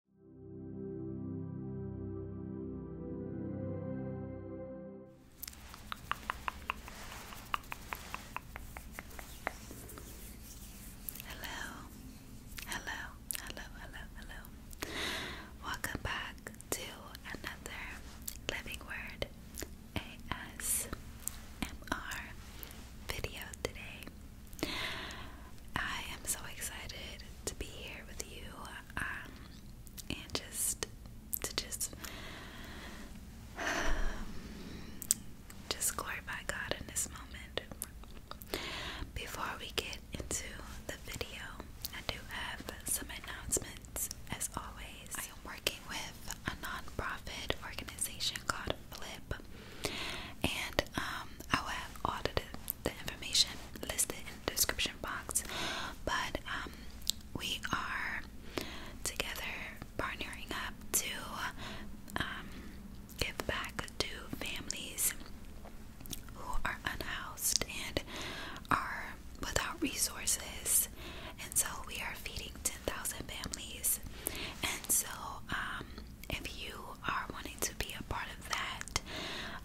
Hello, hello, hello, hello, hello. Welcome back to another Living Word ASMR video today. I am so excited to be here with you um, and just to just just glorify God in this moment. Before we get into the video, I do have some announcements as always. I am working with a nonprofit organization called Flip, and um, I will have audited the information listed in the description box. But um, we are together partnering up to um, give back to families who are unhoused and are without resources. And so we are feeding 10,000 families. And so um, if you are wanting to be a part of that,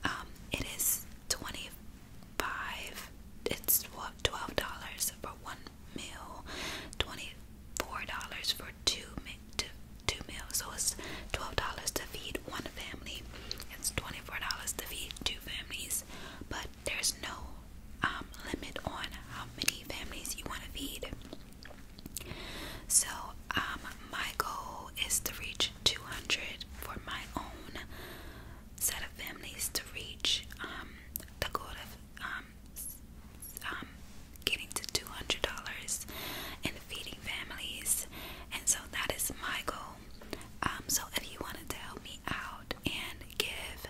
um, it is twenty five. It's twelve dollars for one meal, twenty four dollars for two two two meals. So it's twelve dollars to feed one family. It's twenty four dollars to feed two families, but there's no um, limit on how many families you want to feed. So um, my goal is to reach 200 for my own set of families to reach um, the goal of um, um, getting to $200 and feeding families. And so that is my goal. so if you wanted to help me out and give,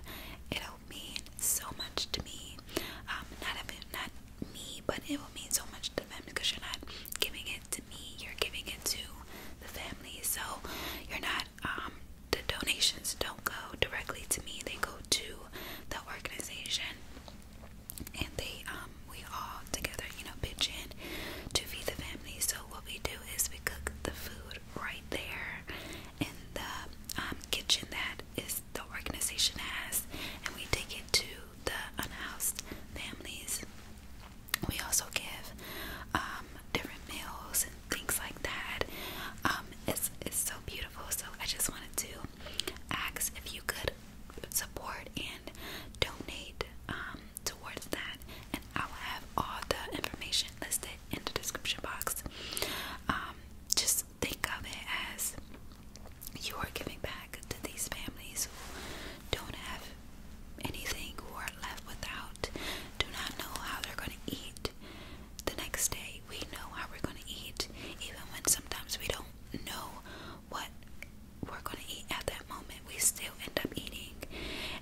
it'll mean so much to me. Um, not, even, not me, but it will mean so much to them because you're not giving it to me, you're giving it to the family. So you're not um the donations don't go directly to me, they go to the organization and they um we all together, you know, pitch in to feed the family. So what we do is we cook the food right there in the um kitchen that is the organization has and we take it to the unhoused families. We also give um, different meals and things like that. Um, it's it's so beautiful. So I just wanted to ask if you could support and donate um, towards that, and I'll have all the information listed in the description box. just think of it as you are giving back to these families who don't have anything, who are left without, do not know how they're going to eat the next day. We know how we're going to eat, even when sometimes we don't know what we're going to eat at that moment. We still end up eating.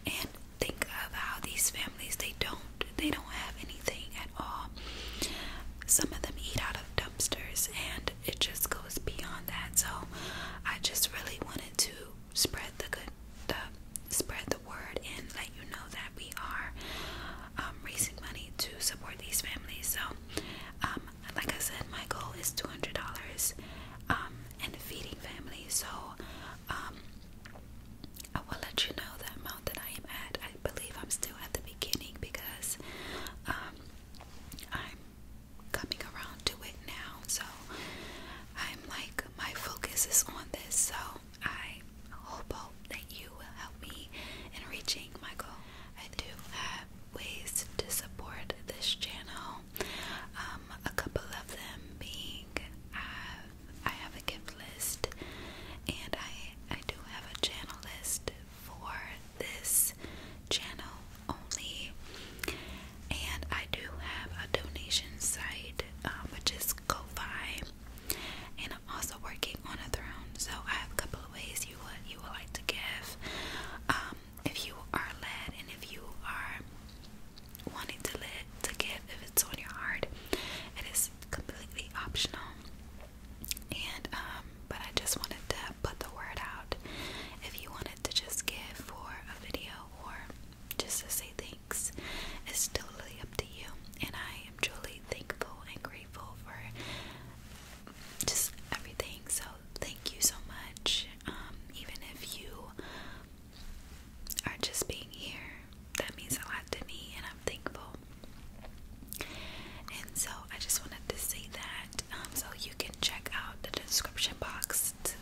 And think of how these families they don't they don't have anything at all. Some of them eat out of dumpsters and it just goes beyond that. So I just really wanted to spread the good, the spread the word, and let you know that we are um, raising money to support these families. So, um, like I said, my goal is two hundred dollars, um, and feeding families. So, I will let you know that amount that I am at. I believe I'm still at the beginning because I'm coming around to it now. So I'm like, my focus is on this. So I hope, that you will help me in reaching my goal. I do have ways to support this channel. Um, a couple of them being I have, I have a gift list and I I do have a channel list for this channel only. And I do have a donation site, um, which is Ko-Fi. And I'm also working on a throne, so I have a couple of ways you would you would like to give. Um, if you are led, and if you are wanting to live to give, if it's on your heart, it is completely optional. And um, but I just wanted to put the word out. If you wanted to just give for a video or just to say thanks, it's totally up to you. And I am truly thankful and grateful for just everything. So thank you so much. Um, even if you are just being here, that means a lot to me, and I'm thankful. And so I just wanted to say that um, so you can check out the description box to,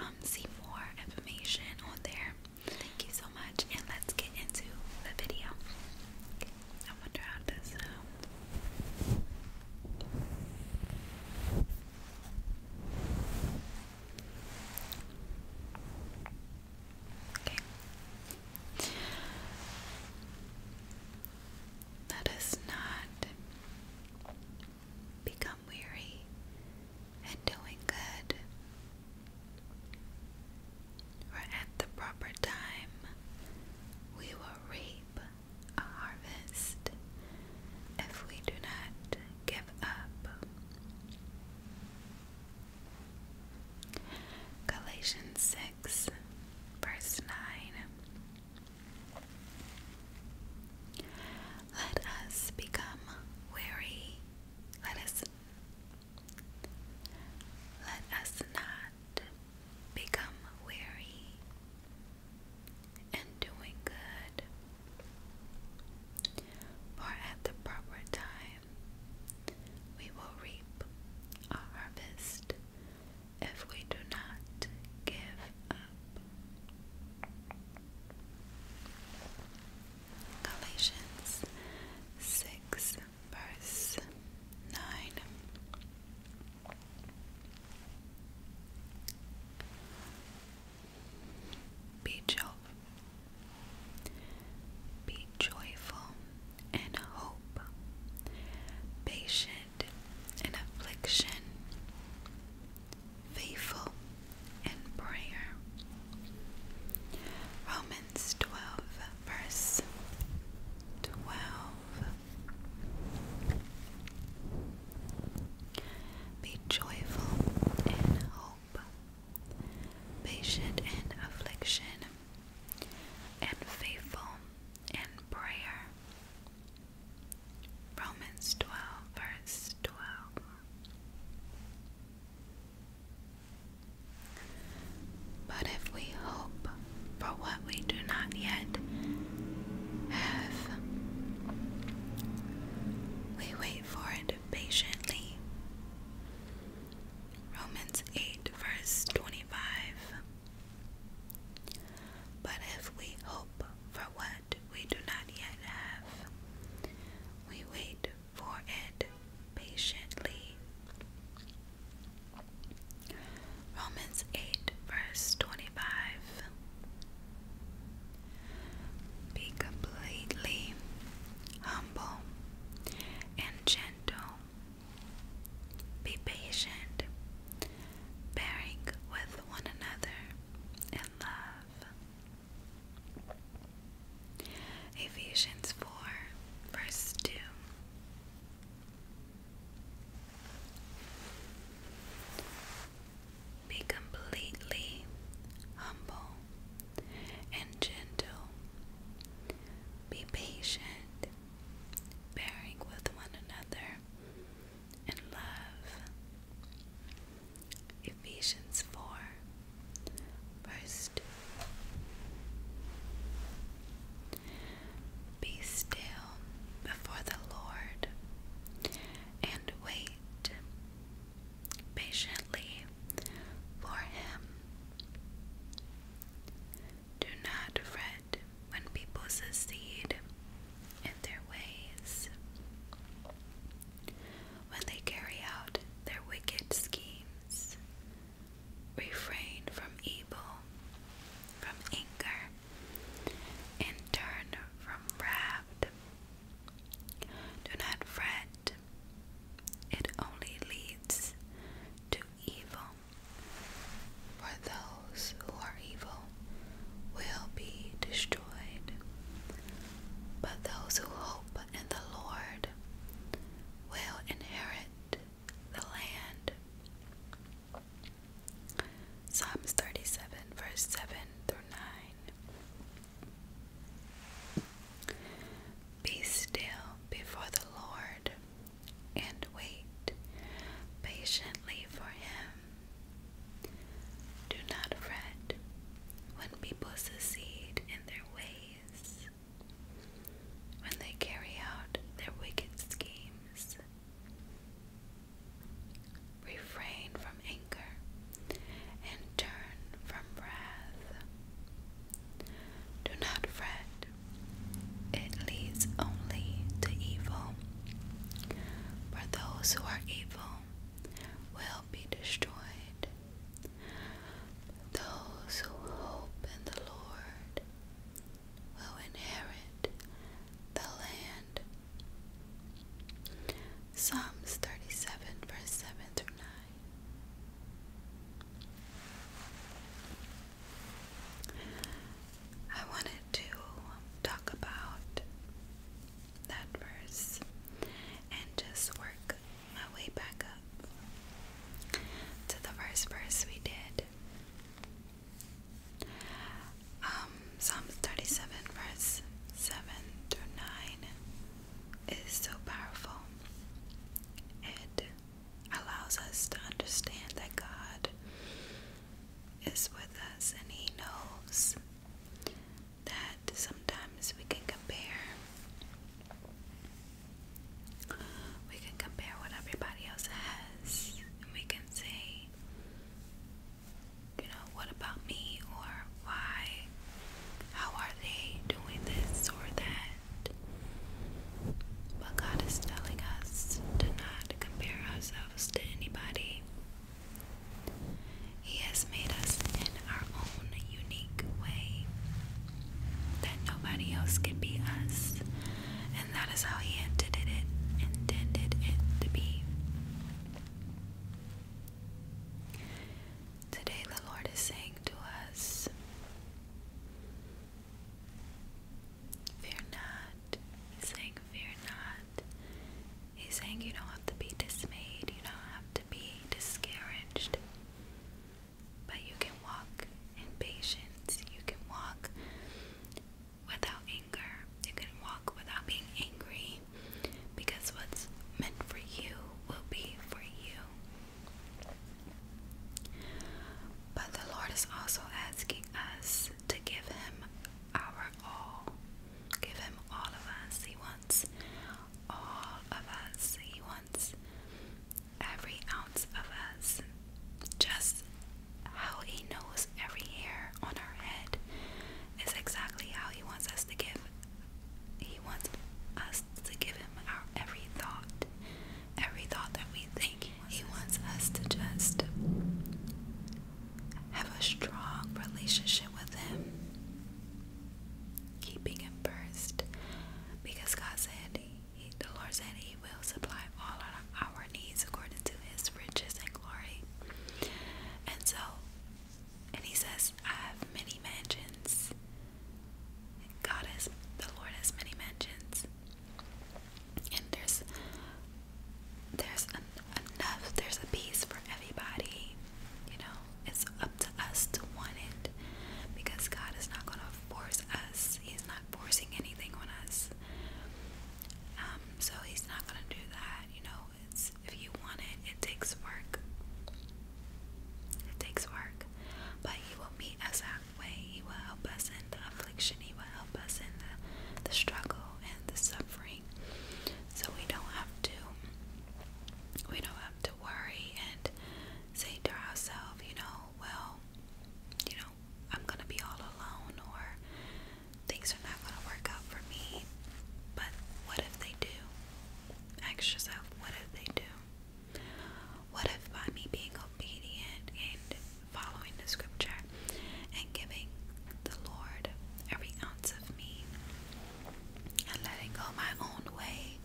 um, see more information on there. Thank you so much, and let's get into the video. I wonder how this sounds. Okay. That is not become weary in doing good. For at the proper time we will reap a harvest if we do not give up. Galatians 6, verse 9. Let us become weary. Let us let us not become weary in doing good. For at the proper time we will reap a harvest if we do not give up. Galatians 6, verse 9. Be, jo be joyful and hope, patient in affliction, faithful in prayer. Romans 12, verse 12. Be joyful in hope, patient in affliction, and faithful in prayer. Romans 12, verse 12. But if we hope for what we do not yet have, we wait for it patiently. Romans 8, verse 25. But if we hope for what we do not yet have. We wait for it patiently. Romans 8, verse 25. Be completely humble and gentle. Be patient, bearing with one another and love. Ephesians 4, verse 2. Be completely humble and gentle. Be patient, bearing with one another and love. Ephesians 4, Be still before the Lord and wait patiently for Him. Do not fret when people succeed in their ways. When they carry out their wicked schemes, refrain from evil, from anger, and turn from wrath. Do not fret, it only leads to evil. For those those who are evil will be destroyed, but those who hope in the Lord will inherit the land. Psalms 37, verse 7 through 9. Be still before the Lord and wait patiently for Him. Do not fret when people succeed in their ways, when they carry out their wicked schemes. Refrain from anger and turn from wrath. Do not fret, it leads only to evil. For those who are evil will be destroyed. those who hope in the Lord will inherit the land. Psalms 37, verse 7 through 9. I wanted to talk about that verse and just work my way back up to the first verse we did. Um, 37, verse 7 through 9 is so powerful. It allows us to understand that God is with us and He knows that sometimes we can compare. We can compare what everybody else has, and we can say, you know, what about me? Or why? How are they doing this or that? But God is telling us to not compare ourselves to anybody. He has made us in our own unique way, that nobody else can be us, and that is how He intended it, intended it to be. Today, the Lord is saying to us, Fear not, Fear not. He's saying, You don't have to be dismayed, you don't have to be discouraged, but you can walk in patience, you can walk without anger, you can walk without being angry, because what's meant for you will be for you. But the Lord is also asking us to give Him our all. Give him all of us, he wants. All of us, he wants. Every ounce of us. Just how he knows every hair on our head is exactly how he wants us to give. He wants us to give him our every thought, every thought that we think. He wants us to just have a strong relationship with Him, keeping Him first, because God said, the Lord said, He will supply all our needs according to His riches and glory. And so, and He says, I have many mansions. God has, the Lord has many mansions, and there's there's enough, there's a piece for everybody. You know, it's up to us to want it because God is not going to force us, He's not forcing anything on us. Um, so He's not going to do that. You know, it's if you want it, it takes work. It takes work, but He will meet us halfway. He will help us in the affliction. He will help us in the the struggle and the suffering so we don't have to we don't have to worry and say to ourselves, you know, well, you know, I'm gonna be all alone or things are not gonna work out for me. But what if they do? Ask yourself, what if they do? What if by me being obedient and following the scripture and giving the Lord every ounce of and letting go my own way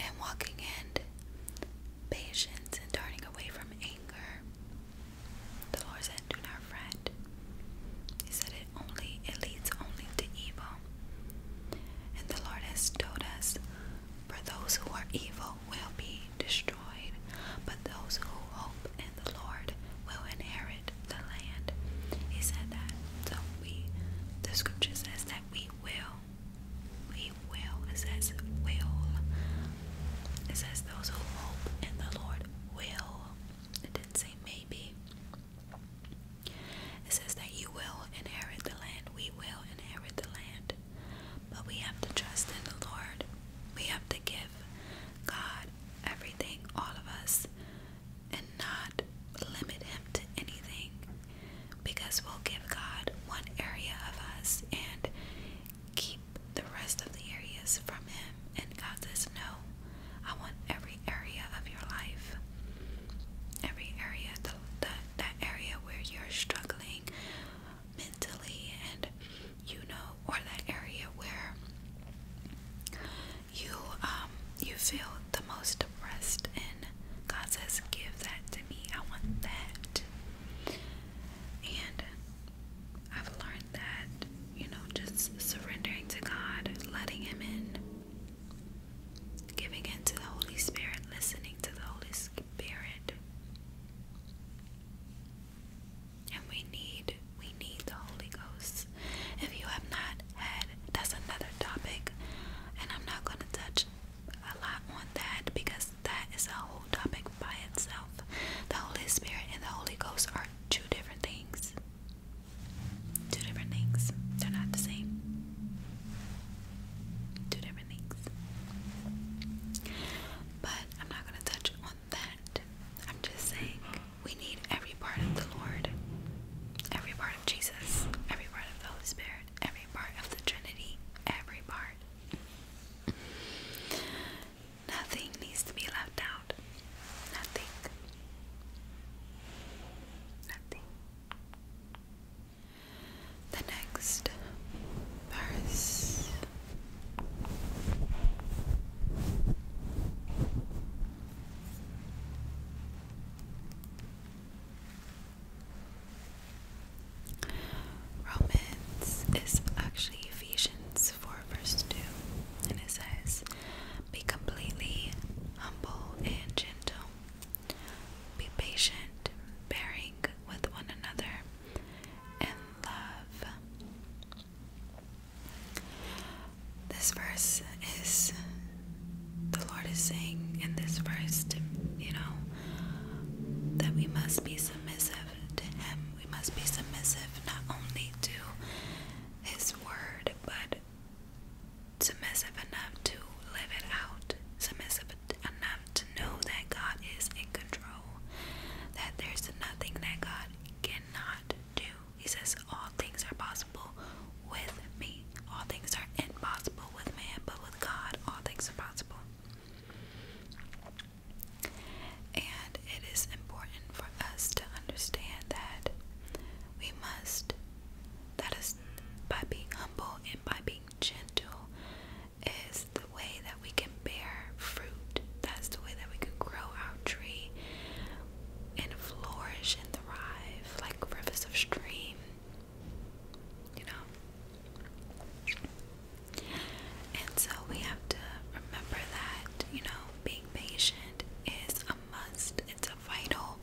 and walking in patience and turning away from anger. The Lord said, Do not fret. He said it only it leads only to evil. And the Lord has told us for those who are evil will be destroyed, but those who hope in the Lord will inherit the land. He said that. So we the scripture says that we will. We will. It says will. It says those who hope in the Lord will. It didn't say maybe. It says that you will inherit the land. We will inherit the land. But we have to trust in the Lord. We have to give God everything, all of us and not limit Him to anything because we'll give God one area of us and keep the rest of the areas from Him. And God says, No, I want every area of your life, every area, the, the, area where you're struggling mentally, and you know, or that area where you um you feel the most depressed and God says give that to me. I want that. And I've learned that, you know, just surrendering to God, letting him in, giving in to the Holy Spirit, listening to the Holy Spirit and we need we need the Holy Ghost. If you have not had, that's another topic, and I'm not going to touch a lot on that because that is a whole topic by itself. The Holy Spirit and the Holy Ghost are two different things. Two different things. They're not the same. Two different things. But I'm not going to touch on that. I'm just saying we need every part of the Lord, every part of Jesus, every part of the Holy Spirit, every part of the Trinity, every part. Nothing needs to be left out. Nothing. Nothing. The next verse Romans is actually Ephesians 4, verse 2, and it says, Be completely humble and gentle, be patient, bearing with one another, and love. This verse is the Lord is saying in this verse to you know that we must be submissive to him. We must be submissive not only to his word but submissive enough to live it out. Submissive enough to know that God is in control. That there's nothing that God cannot do. He says, All things are possible with me. All things are impossible with man, but with God, all things are possible. And it is important for us to understand that we must, that is, by being humble and by being gentle, is the way that we can bear fruit. That's the way that we can grow our tree and flourish and thrive like rivers of stream, you know. And so we have to remember that, you know, being patient is a must, it's a vital,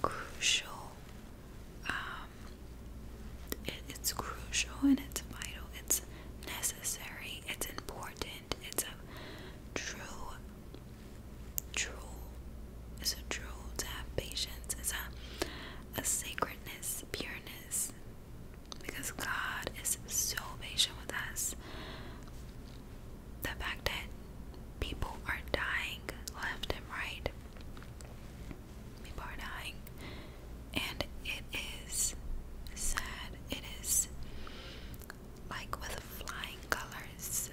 crucial, um, it's crucial and it's vital, it's necessary, it's important it's a true, true, it's a true to have patience. It's a, a sacredness, pureness, because God is so patient with us. The fact that people are dying left and right, people are dying, and it is sad, it is like with flying colors,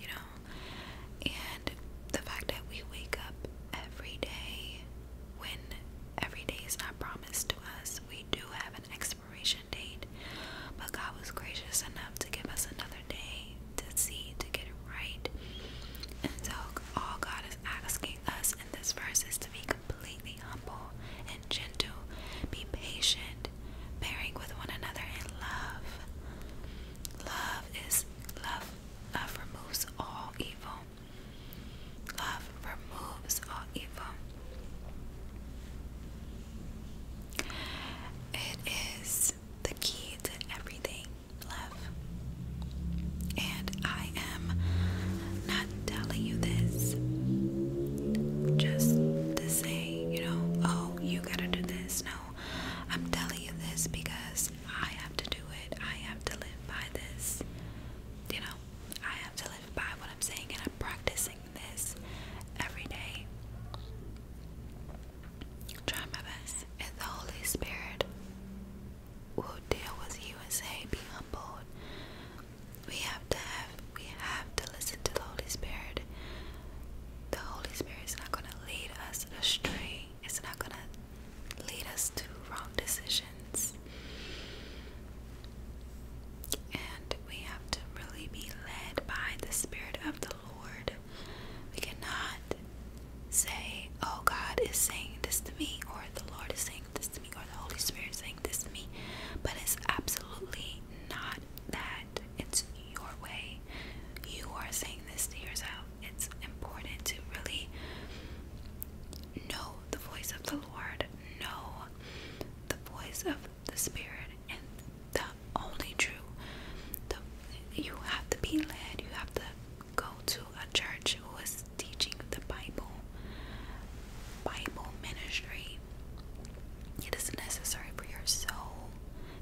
you know. And the fact that we wake up every day when every day is not promised to us, we do have an expiration date, but God was gracious enough to give us another day to see to get it right. And so, all God is asking us in this verse is to be completely humble and gentle, be patient, bearing with one another in love. Love is love. Love removes all evil. Love removes all evil. It is the key to everything, love. And I am not telling you this just to say you know, oh, you gotta do this. No, I'm telling you this because I have to do it. I have to live by this. You know, I have to live by what I'm saying, and I'm practicing this every day. Try my best. And the Holy Spirit will deal with you and say, Be humbled we have to have we have to listen to the Holy Spirit. The Holy Spirit is not gonna lead us astray. It's not gonna lead us to wrong decisions. And we have to really be led by the Spirit of the Lord. We cannot say, Oh, God is saying this to me, or the Lord is saying this to me, or the Holy Spirit is saying this to me. But it's absolutely not that it's your way. You are saying this to yourself. It's important to really know the voice of the Lord, know the voice of the Spirit, and the only true. The, you have to be led, you have to go to a church who is teaching the Bible, Bible ministry. It is necessary for your soul.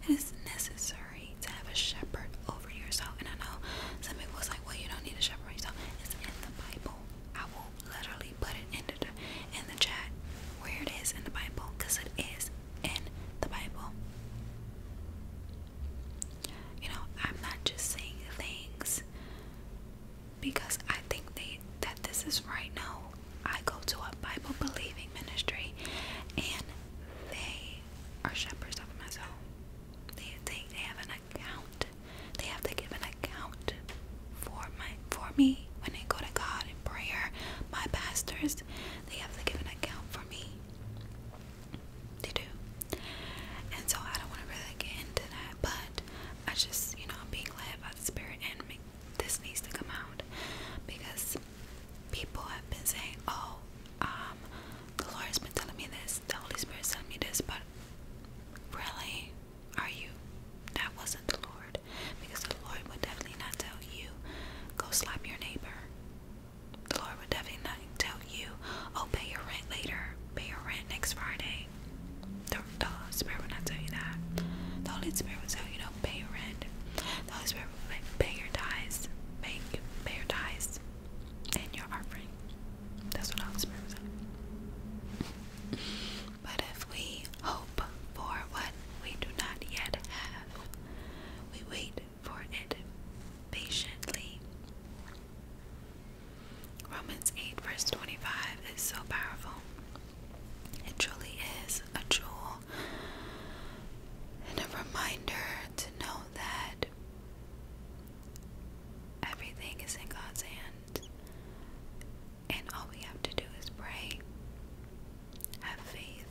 It is necessary to have a shepherd over yourself. And I know some people was like, well, you don't need a shepherd yourself. It's in the Bible. I will literally put it in the, chat where it is in the Bible because it is in the Bible. You know, I'm not just saying things because I think they that this is right. now. I go to a Bible believing ministry and they are shepherds of my soul. They, they, they have an account. They have to give an account for my for me when I go to God in prayer. My pastors, they have to give an account for me. They do. And so I don't want to really get into that, but I just, you know, being led by the Spirit and this needs to come out because people have been saying, "Oh, um, the Lord has been telling me this, the Holy Spirit sent me this," but really, are you? That wasn't the Lord, because the Lord would definitely not tell you, "Go slap your neighbor." The Lord would definitely not tell you, "Oh, pay your rent later, pay your rent next Friday." The, the Holy Spirit would not tell you that. The Holy Spirit would tell you, "No, don't pay your rent. That is where we pay your tithes, pay, pay your tithes, and your offering. That's what I was saying. But if we hope for what we do not yet have, we wait for it patiently. Romans 8, verse 25 is so powerful. It truly is a jewel and a reminder to know that everything is in God's hand, and all we have to do is pray, have faith,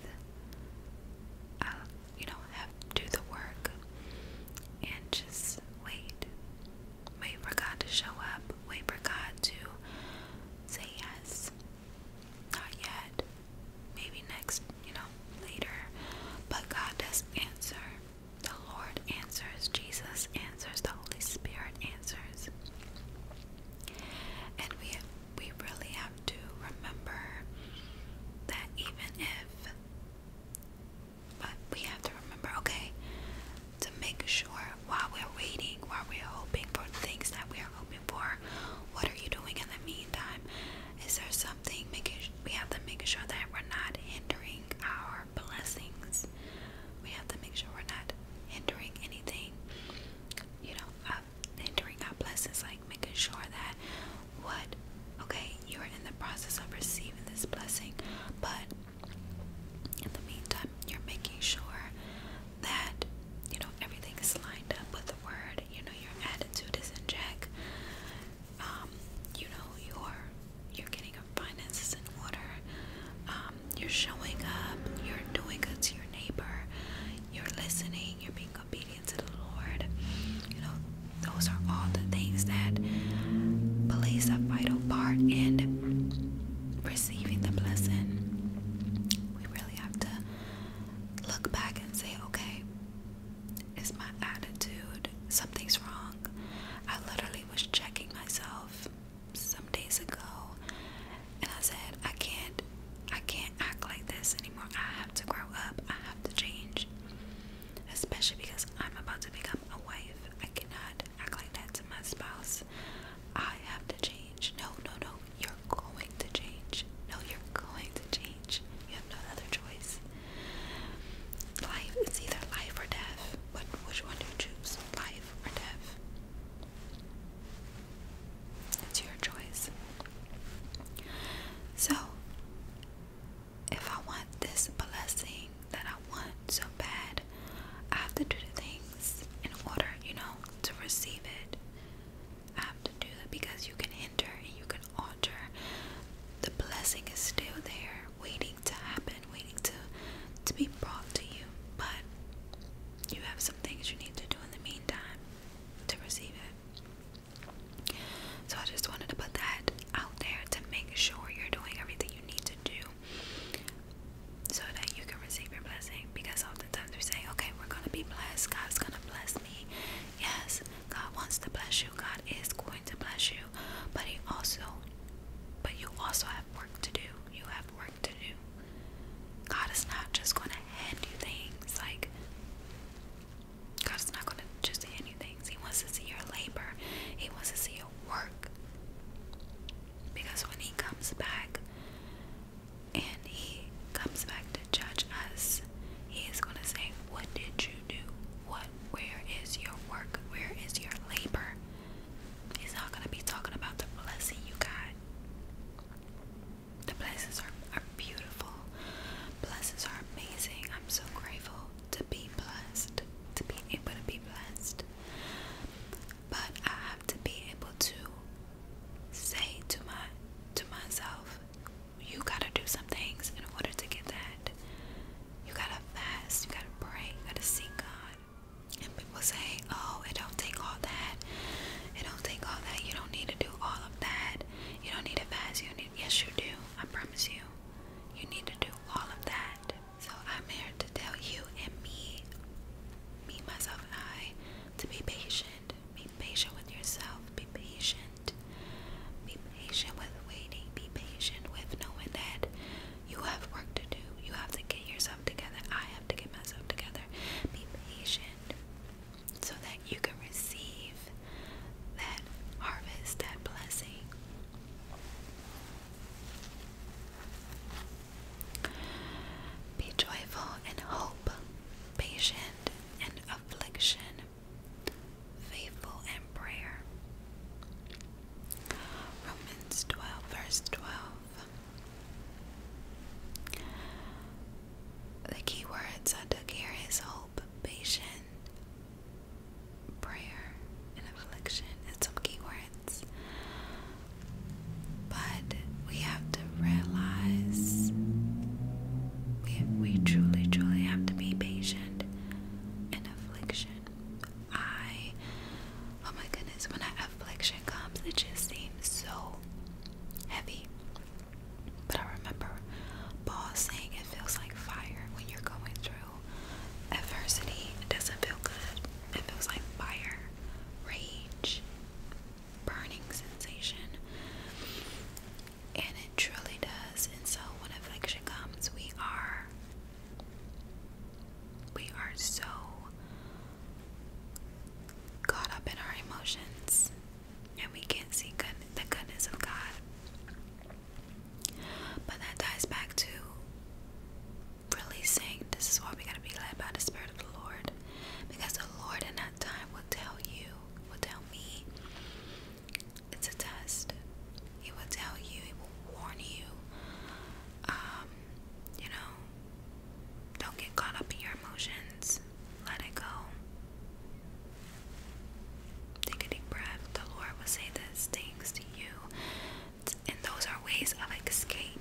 uh, you know, have do the work, and just wait. Wait for God to show up. Wait for God to say yes. Not yet. Maybe next, you know, later. But God does answer. The Lord answers. Jesus answers. The Holy Spirit answers. And we we really have to remember that even if but we have to remember, okay, to make sure while we're waiting, while we're hoping for things that we are hoping for, what are you doing in the meantime? Is there something making we have to make sure that we're not hindering our blessings? We have to make sure we're not hindering anything, you know, uh, hindering our blessings, like making sure that what okay, you're in the process of receiving this blessing, but in the meantime, you're making sure that you know everything is lined up with the word, you know, your attitude is in check. Um, you know, you're getting your finances in order, um, you're showing up, you're doing good to your neighbor, you're listening, you're being obedient to the Lord. You know, those are all the things that plays a vital part in receiving the blessing. We really really have to look back and say, okay, is my attitude something's wrong? I literally was checking myself some days ago and I said, I can't I can't act like this anymore. I have to grow up. I have to change. Especially because I'm about to become a wife. I cannot act like that to my spouse. I have to change. No, no, no, you're going to change. No, you're going to change. You have no other choice. Life is either life or death. But which one do you choose? Life or death? It's your choice. So, if I want this blessing that I want so bad, I have to do the things in order, you know, to receive it have to do that because you can enter and you can alter. The blessing is still there, waiting to happen, waiting to to be brought to you. But you have some things you need to do in the meantime to receive it. So I just wanted to put that out there to make sure you're doing everything you need to do so that you can receive your blessing. Because oftentimes we say, okay, we're going to be blessed. God's going to bless me. Yes, God wants to bless you. God is going to bless you. But He also, but you also have work to do. You have work to do. God is not just going to hand you things. Like, God is not going to just hand you things. He wants to see your labor, He wants to see your work. Because when He comes back, and he comes back to judge us, he is going to say, What did you do? What? Where is your work? Where is your labor? He's not going to be talking about the blessing you got. The blessings are, are beautiful. Blessings are amazing. I'm so grateful to be blessed, to be able to be blessed but I have to be able to say to my to myself, you gotta do some things in order to get that. You gotta fast, you gotta pray, you gotta seek God. And people say, Oh, it don't take all that. It don't take all that. You don't need to do all of that. You don't need to fast. You need yes you do. I promise you. You need to do all of that. So I'm here to tell you and me, me, myself and I, to be patient. Be patient with yourself. Be patient. Be patient with waiting. Be patient with knowing that you have work to do. You have to get yourself together. I have to get myself together. Be patient so that you can receive that harvest, that blessing. Be joyful in hope, patient in affliction, faithful in prayer. Romans 12, verse 12. The key words I took here is hope, patient, prayer, and affliction. And some key words but we have to realize we, we truly, truly have to be patient in affliction. I, oh my goodness, when I, affliction comes, it just seems so heavy. But I remember Paul saying it feels like fire when you're going through adversity. It doesn't feel good. It feels like fire, rage, burning sensation, and it truly does. And so, when affliction comes, we are we are so caught up in our emotions, and we can't see the goodness of God. But that ties back to really "This is why we gotta be led by the Spirit of the Lord," because the Lord and time will tell you, will tell me, it's a test. It will tell you, it will warn you. Um, you know, don't get caught up in your emotions. Let it go. Take a deep breath. The Lord will say these things to you. And those are ways of escape.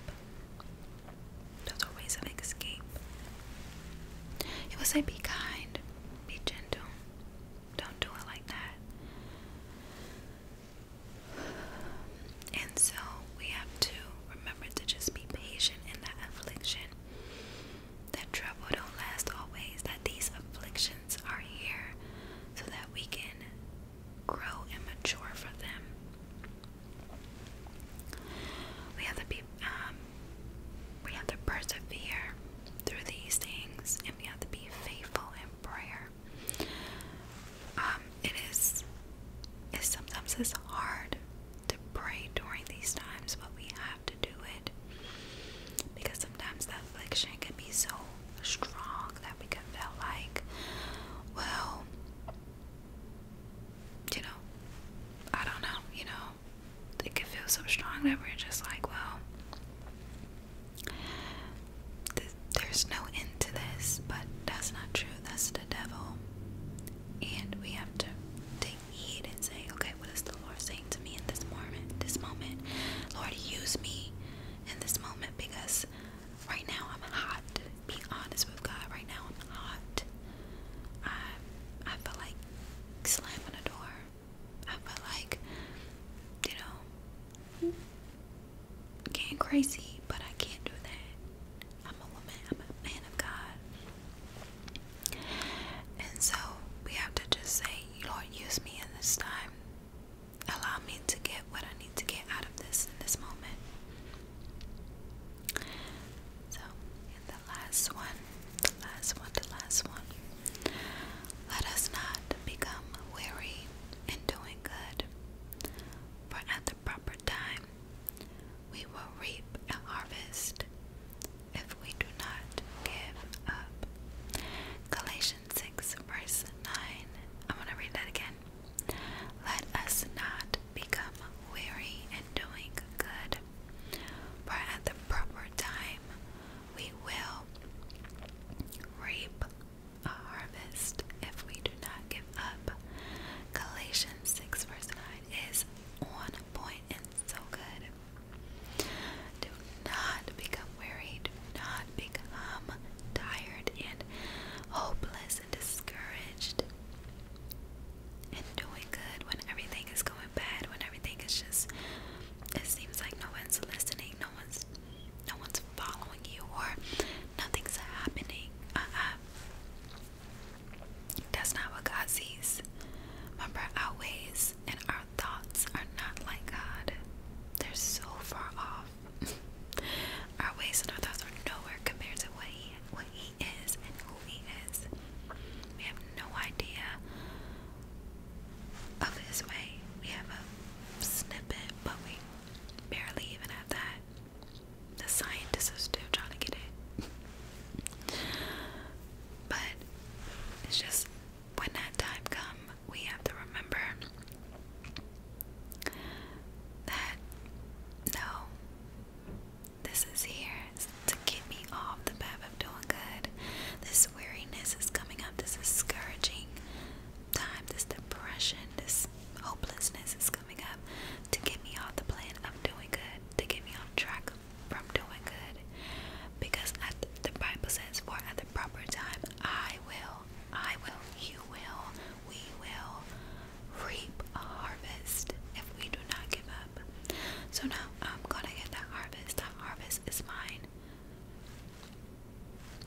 There's always an escape. It was like, be kind, be gentle. Don't do it like that. And so we have to remember to just be patient in that affliction. That trouble don't last always, that these afflictions are here so that we can grow and mature for them. We have the um, we have to persevere through these things, and we have to be faithful in prayer. Um, it is, it sometimes it's hard to pray during these times, but we have to do it because sometimes that affliction can be so strong that we can feel like, well, you know, I don't know, you know, it can feel so strong that we're just like, well, there's no end to this, but that's not true. That's the devil. And we have to take heed and say, okay, what is the Lord saying to me in this moment? This moment, Lord, use me in this moment because right now I'm hot be honest with God right now. I'm hot. I I feel like slamming a door. I feel like you know getting crazy, but I can't do that. I'm a woman. I'm a man of God, and so we have to just say, Lord, use me in this time. Allow me to get what I need to get out of this in this moment. So, the last one, the last one, the last one. Let us not become weary in doing good, for at the proper time we will reap a harvest if we do not give up. Galatians 6, verse 9. I'm to read that again. Let us not become weary in doing good, for at the proper time we will reap a harvest if we do not give up. Galatians 6 verse 9 is on point and so good. Do not become weary, do not become tired and hopeless and discouraged and doing good when everything is going bad, when everything is just it seems like no one's listening, no one's no one's following you or nothing's happening. Uh-uh. That's not what God sees. Remember our ways and our thoughts are not like God. They're so far off. our ways and our thoughts are nowhere compared to what he he is and who he is. We have no idea of his way. We have a snippet, but we barely even have that. The scientists are still trying to get it. but it's just when that time comes, we have to remember that no, this is here to get me off the path of doing good. This weariness is coming up, this discouraging time, this depression, this hopelessness is coming up to get me off the plan of doing good, to get me off track from doing good. Because the Bible says, For at the proper time, I will, I will, you will, we will reap a harvest if we do not give up. So now I'm um, gonna get that harvest. That harvest is mine.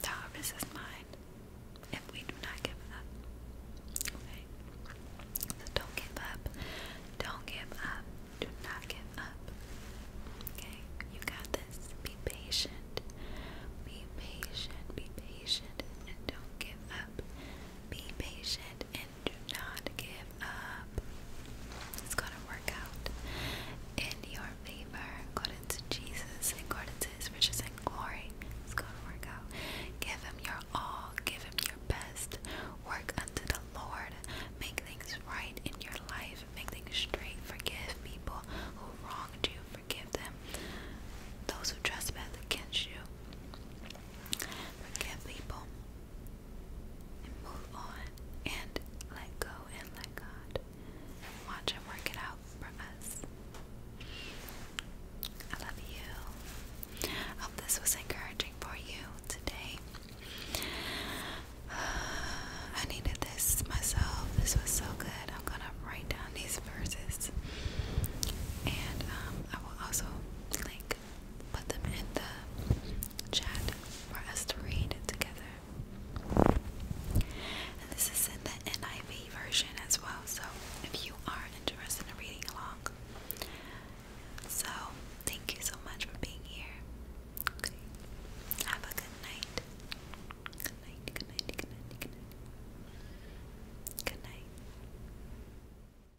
The harvest is mine if we do not give up. Okay? So don't give up. Don't give up. Do not give up. Okay? You got this. Be patient. Be patient. Be patient and don't give up. Be patient and do not give up. It's gonna work out in your favor, according to Jesus, according to His riches and glory. It's gonna work out. Give Him your all. Give Him your best. Work unto the Lord. Make things right in your life. Make things straight. Forgive people who wronged you. Forgive them. Those who trespass against you. Forgive people and move on and let go and let God watch Him work it out for us. I love you. hope this was encouraging for you today. I needed this myself. This was so good. I'm gonna write down these verses, and um, I will also link put them in the chat for us to read together. And this is in the NIV version as well, so if you are interested in reading along. So, thank you so much for being here. Have a good night. Good night, good night, good night, good night. Good night.